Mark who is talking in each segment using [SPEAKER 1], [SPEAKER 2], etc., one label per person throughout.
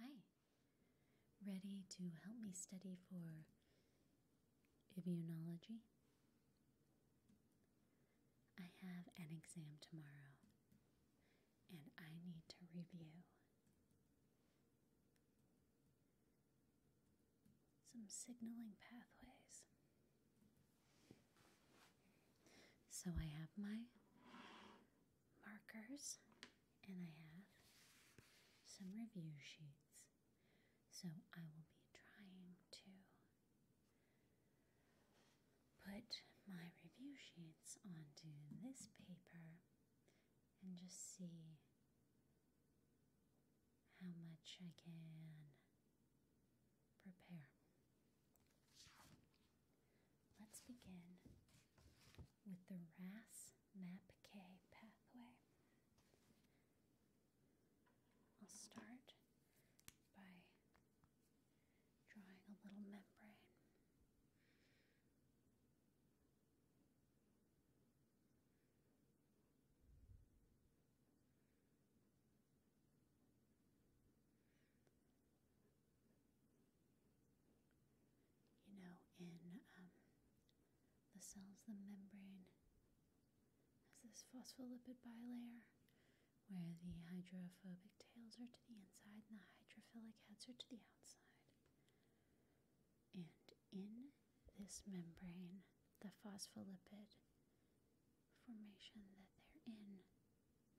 [SPEAKER 1] Hi. Ready to help me study for immunology? I have an exam tomorrow and I need to review some signaling pathways. So I have my markers and I have some review sheets. So I will be trying to put my review sheets onto this paper and just see how much I can prepare. Let's begin with the RAS MAPK pathway. I'll start by drawing a little membrane you know, in um, the cells, the membrane has this phospholipid bilayer where the hydrophobic tails are to the inside and the hydrophilic heads are to the outside. And in this membrane, the phospholipid formation that they're in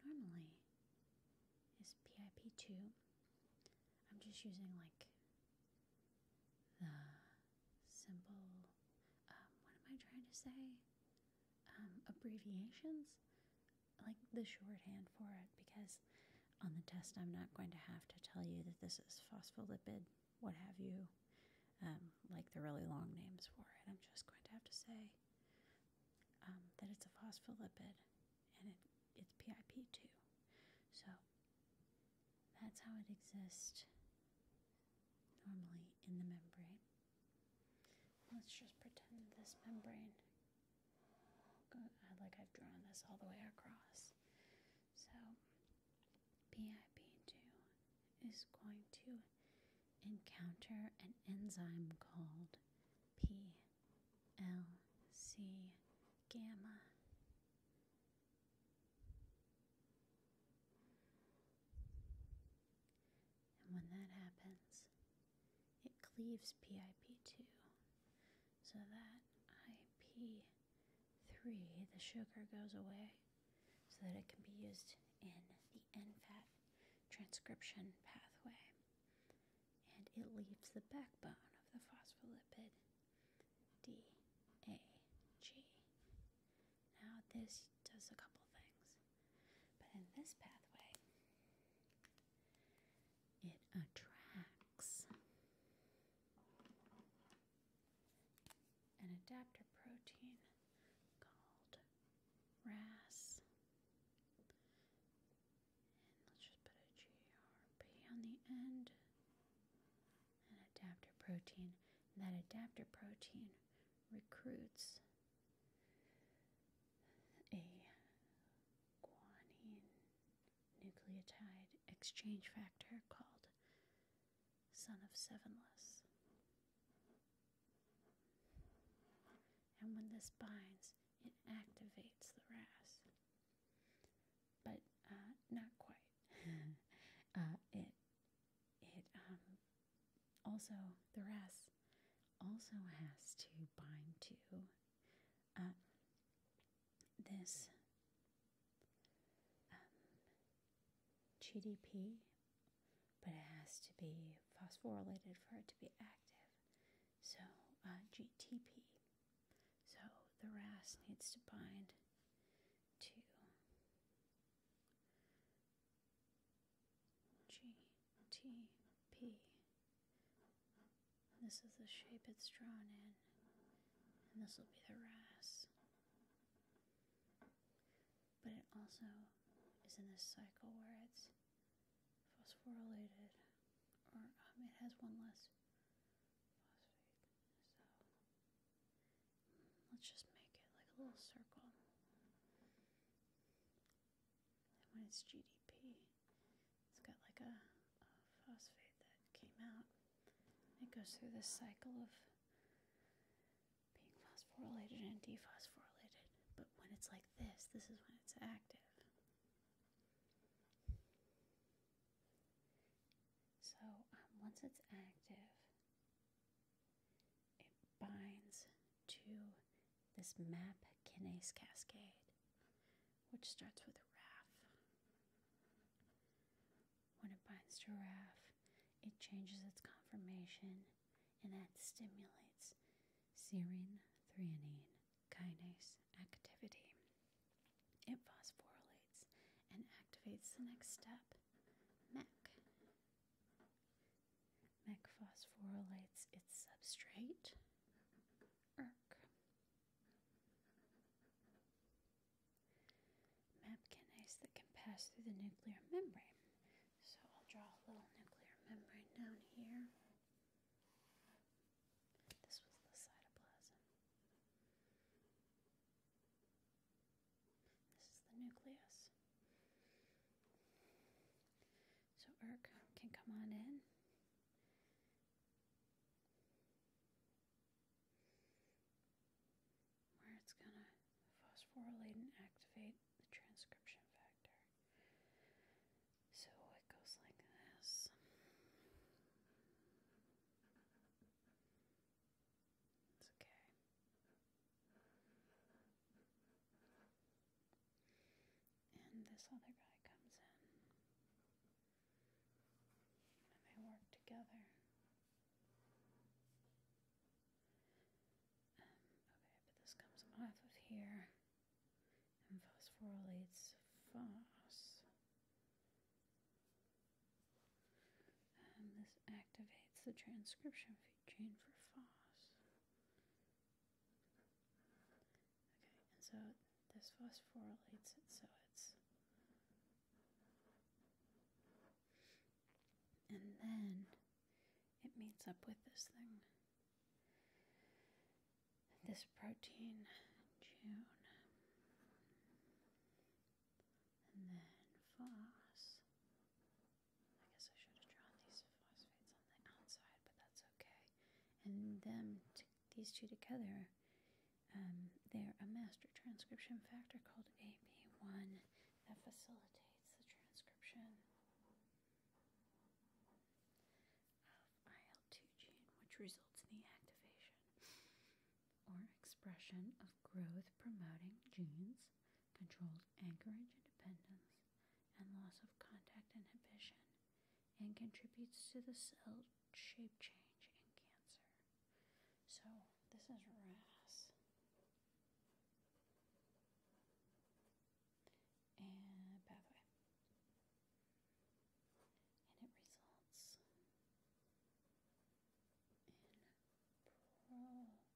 [SPEAKER 1] normally is PIP2. I'm just using like the simple, um, what am I trying to say? Um, abbreviations, like the shorthand for it, because on the test I'm not going to have to tell you that this is phospholipid, what have you, um, like the really long names for it. I'm just going to have to say um, that it's a phospholipid and it's PIP2. So that's how it exists normally in the membrane. Let's just pretend this membrane, like I've drawn this all the way across. So PIP2 is going to encounter an enzyme called PLC gamma. And when that happens, it cleaves PIP2 so that IP3, the sugar, goes away so that it can be used in the NFAT transcription pathway, and it leaves the backbone of the phospholipid DAG. Now, this does a couple things, but in this pathway, it attracts an adapter protein called RAS. And let's just put a GRP on the end. An adapter protein. that adaptor protein recruits a guanine nucleotide exchange factor called son of sevenless. And when this binds, it activates the RAS. But uh, not quite. Uh, it it um, also the RAS also has to bind to uh, this um, GDP, but it has to be phosphorylated for it to be active. So uh, GTP. So the RAS needs to bind to GTP. This is the shape it's drawn in, and this will be the RAS but it also is in this cycle where it's phosphorylated or um, it has one less phosphate. So mm, let's just make it like a little circle. And when it's GDP, it's got like a phosphate that came out. It goes through this cycle of being phosphorylated and dephosphorylated. But when it's like this, this is when it's active. So um, once it's active, it binds to this MAP kinase cascade, which starts with RAF. When it binds to it changes its conformation and that stimulates serine threonine kinase activity. It phosphorylates and activates the next step, MEC. MEC phosphorylates its substrate, ERK mapkinase that can pass through the nuclear membrane. So I'll draw a little nuclear membrane down here. This was the cytoplasm. This is the nucleus. So ERK can come on in where it's going to phosphorylate and activate the transcription factor. So it goes like this. It's okay. And this other guy comes in and work together. Um, okay, but this comes off of here and phosphorylates FOS. Um, this activates the transcription chain for FOS. Okay, and so this phosphorylates it so it's and then it meets up with this thing. This protein, June. And then floss. I guess I should have drawn these phosphates on the outside, but that's okay. And them these two together, um, they're a master transcription factor called AP1 that facilitates the transcription of IL2 gene, which results in the activation or expression of growth promoting genes, controls anchorage independence, and loss of contact inhibition, and contributes to the cell shape change, and cancer. So this is RAS. And pathway. And it results in proliferation.